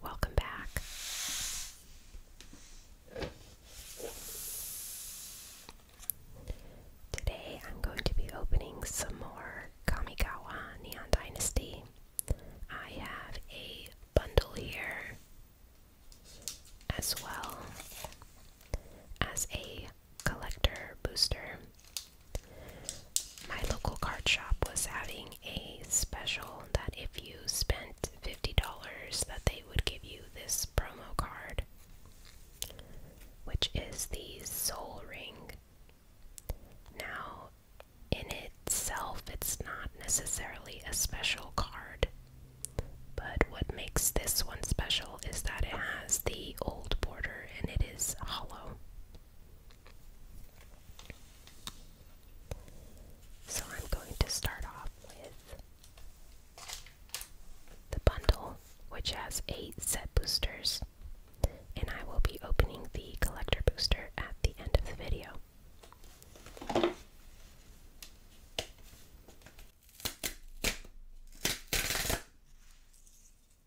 Welcome back. Today I'm going to be opening some more Kamigawa Neon Dynasty. I have a bundle here as well as a collector booster. My local card shop was having a special that if you spent $50 that they would give you this promo card which is the soul ring. Now in itself it's not necessarily a special card. But what makes this one special is that it has the old border and it is hollow. So I'm going to start off with the bundle, which has eight set boosters, and I will be opening the collector booster at the end of the video.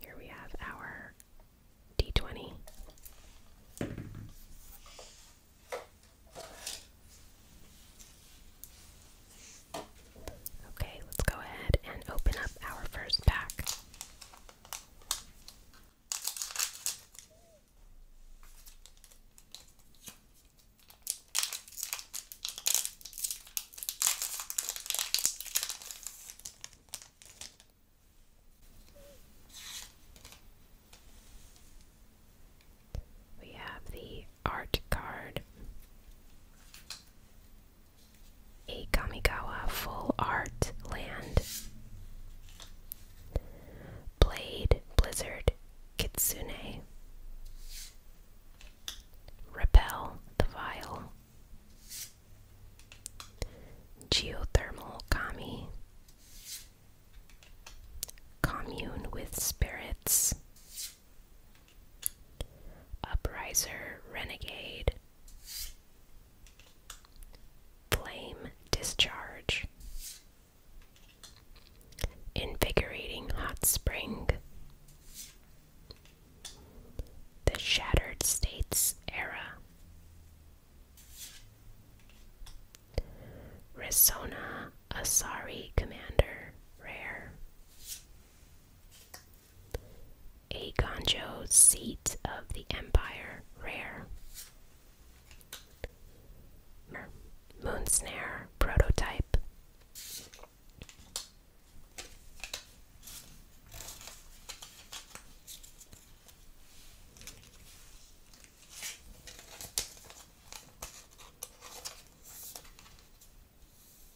Here we have our D20. Okay, let's go ahead and open up our first pack. We have the art card a Kamigawa Full Art land. Blade Blizzard Kitsune. Repel the Vile. Geothermal Kami. Commune with Spirits. Upriser Renegade. Flame discharge. Invigorating hot spring. The Shattered States era. Resona Asari Commander Rare. A Gonjo seat of the empire, rare. Moon snare prototype.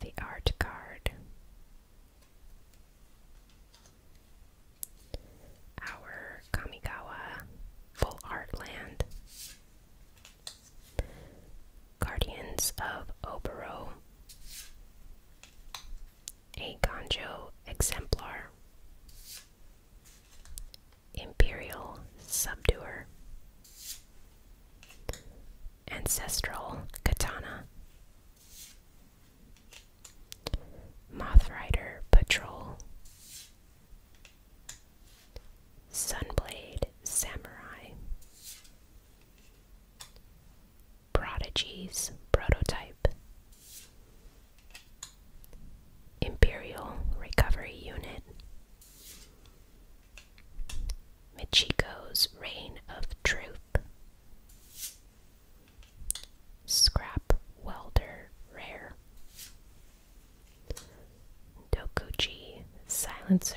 The art Guard, Our Kamigawa Full Art Land. Guardians of Obero. A Gonjo Exemplar. Imperial Subduer. Ancestral Katana. moth rider Patrol. Sunblade Samurai. prodigies Prototype. Imperial Recovery Unit, Michiko's Reign of Truth, Scrap Welder Rare, Dokuchi Silencer.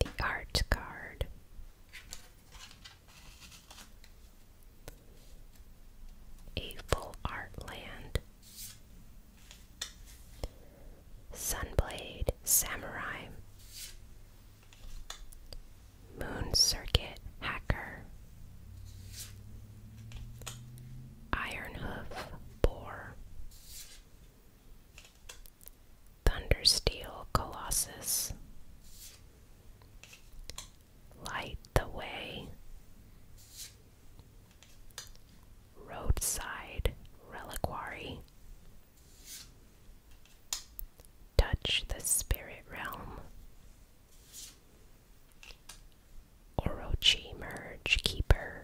the art card, a full art land, Sunblade Samurai, Moon Circuit Hacker, Ironhoof Boar. Thundersteel Colossus. Light the Way. Roadside Reliquary. Touch the Spirit Realm. Orochi Merge Keeper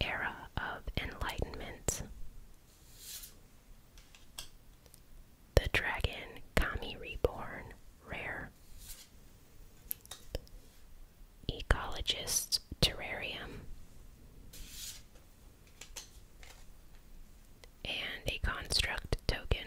era of enlightenment. The Dragon Kami Reborn Rare. Ecologist's Terrarium. And a construct token.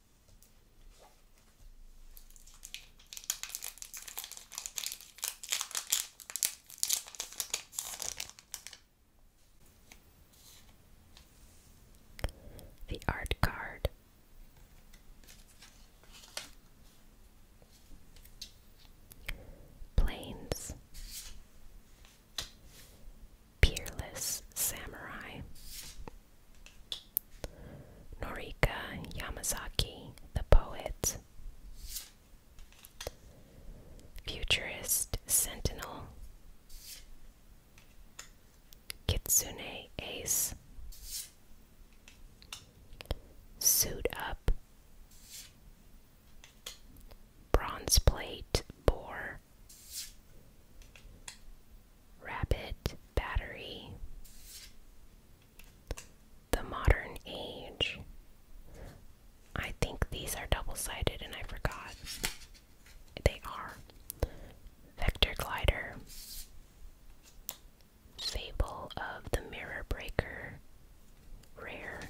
The art card. Planes. Peerless Samurai. Norika Yamazaki, the poet. Futurist Sentinel. Kitsune Ace. Suit Up. Bronze Plate Boar. Rabbit Battery. The Modern Age. I think these are double sided and I forgot. They are. Vector Glider. Fable of the Mirror Breaker. Rare.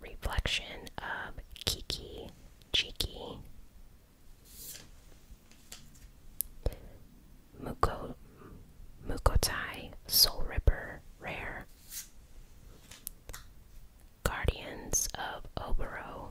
Reflection of Kiki. Cheeky. Muko, Mukotai, Soul Ripper, Rare. Guardians of Obero.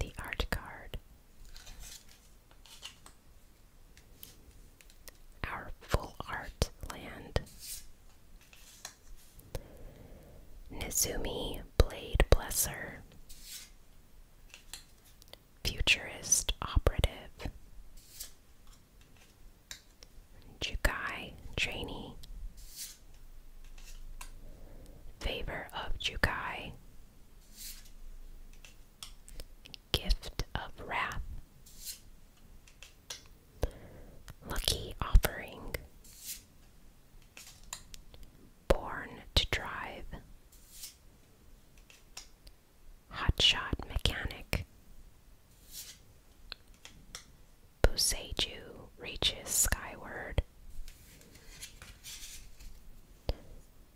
The art card. Our full art land. Nizumi Blade Blesser. Futurist Operative. Jukai trainee. Favor of Jukai. Gift of Wrath. Lucky Offering. Born to Drive hotshot mechanic. Buseiju reaches skyward.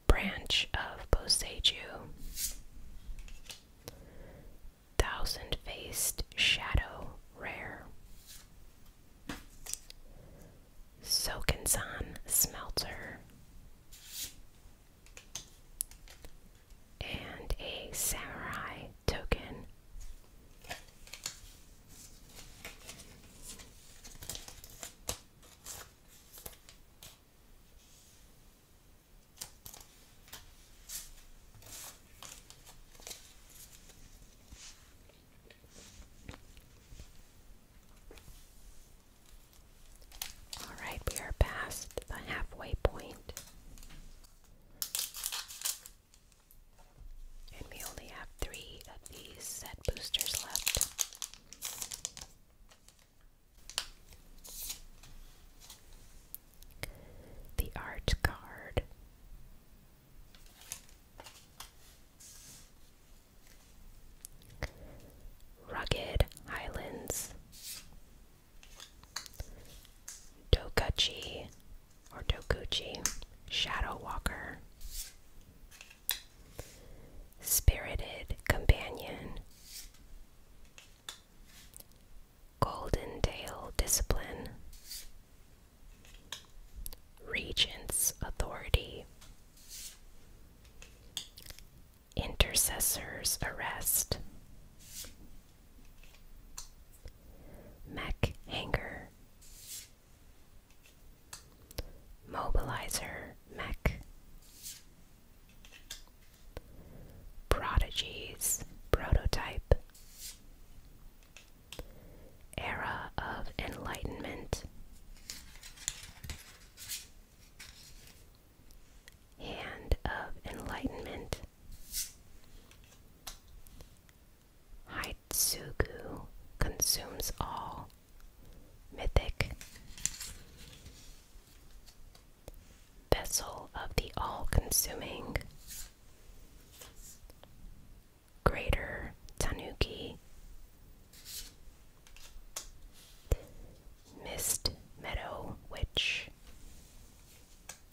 Branch of Boseiju. Thousand faced shadow rare. Sokensan smelter and a samurai token. All right, we are past the halfway point. And we only have three of these set boosters left. The art card. Rugged islands. Dokuchi or Dokuchi, Shadow Walker, Spirited Companion, Golden Tail Discipline, Regent's Authority, Intercessor's Arrest, Mech Hanger Mobilizer Mech Prodigies Prototype Era of Enlightenment Hand of Enlightenment. Haitsugu consumes all. Mythic. Vessel of the all consuming. Greater Tanuki. Mist Meadow Witch.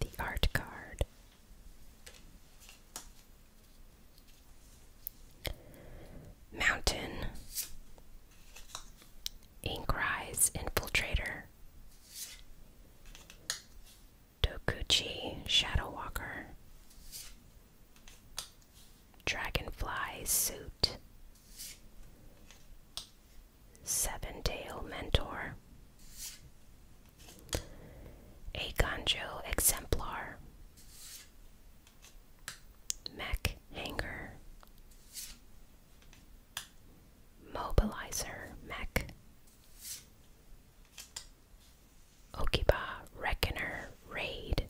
The art card. Mountain. Inkrise Infiltrator. Dokuchi Shadowwalker. Dragonfly Suit, Seven Tail Mentor, A Gonjo Exemplar, Mech Hanger, Mobilizer Mech, Okiba, Reckoner, Raid.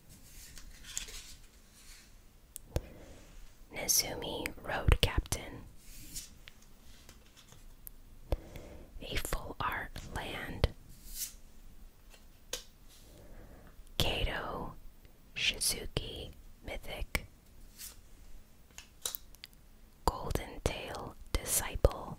Nezumi, Road Captain. A Full Art Land. Kato, Shizuki, Mythic. Golden Tail Disciple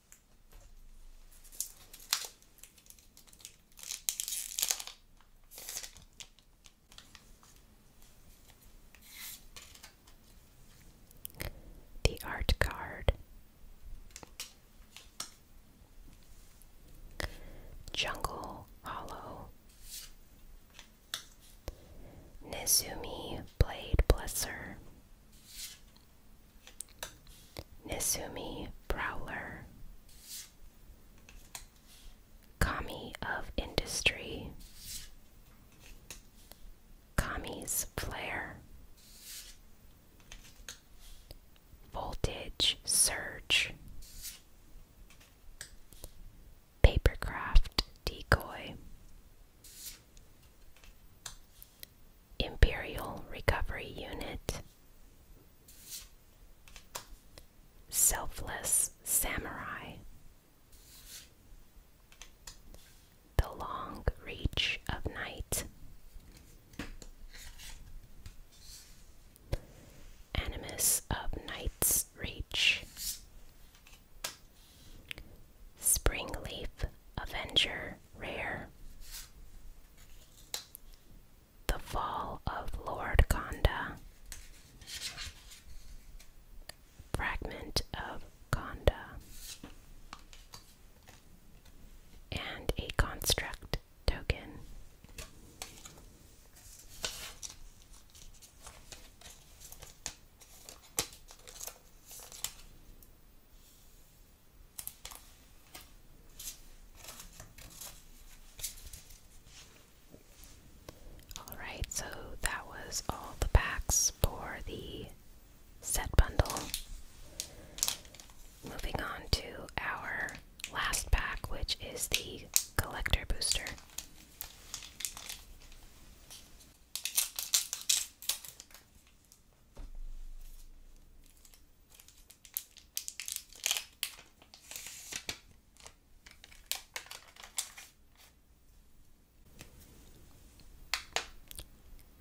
The art card. Jungle Hollow. Nezumi Blade Blesser. Nisumi Browler, Kami of Industry, Kami's Flare, Voltage Surge, Papercraft Decoy. Imperial Recovery Unit, Selfless Samurai, The Long Reach of Night, Animus of Night's Reach, Spring Leaf Avenger Rare. The Fall of Lord Conda. Fragment of Conda. And a construct token. Alright, so that was all the packs for the set bundle. Moving on to our last pack, which is the collector booster.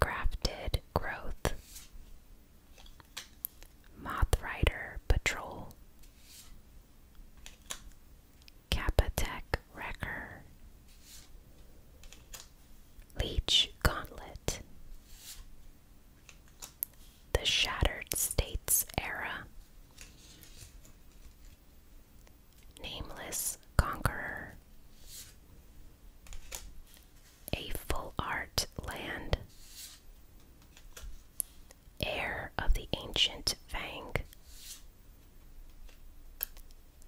Grafted Growth Moth Rider Patrol Capatech Wrecker Leech Gauntlet the Shattered States Era. Nameless Conqueror. A Full Art Land. Heir of the Ancient Fang.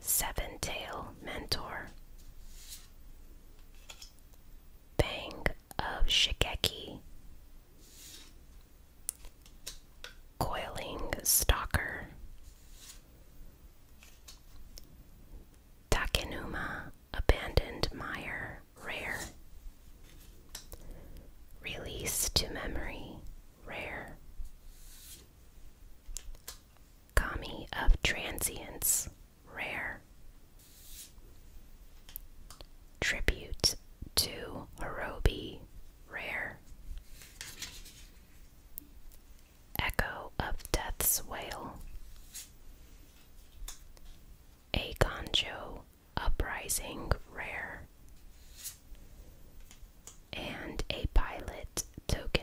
Seven Tail Mentor. Bang of Shigeki, Coiling Stalker, Takenuma Abandoned Mire Rare, Release to Memory Rare, Kami of Transience rare. Tribute to Hirobi, rare. Echo of Death's Wail. A Gonjo Uprising, rare. And a pilot token.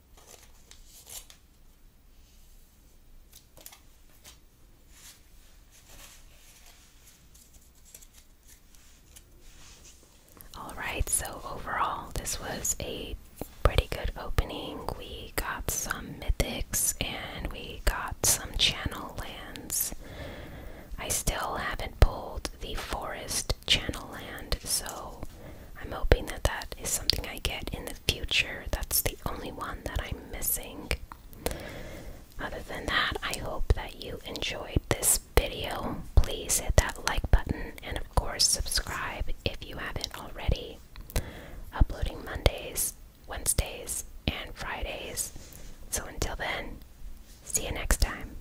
Alright, so overall, this was a pretty good opening. We got some mythics and we got some channel lands. I still haven't pulled the forest channel land, so I'm hoping that that is something I get in the future. That's the only one that I'm missing. Other than that, I hope that you enjoyed this video. Please hit that like button and, of course, subscribe if you haven't already. Uploading Mondays, Wednesdays, and Fridays. So until then, see you next time.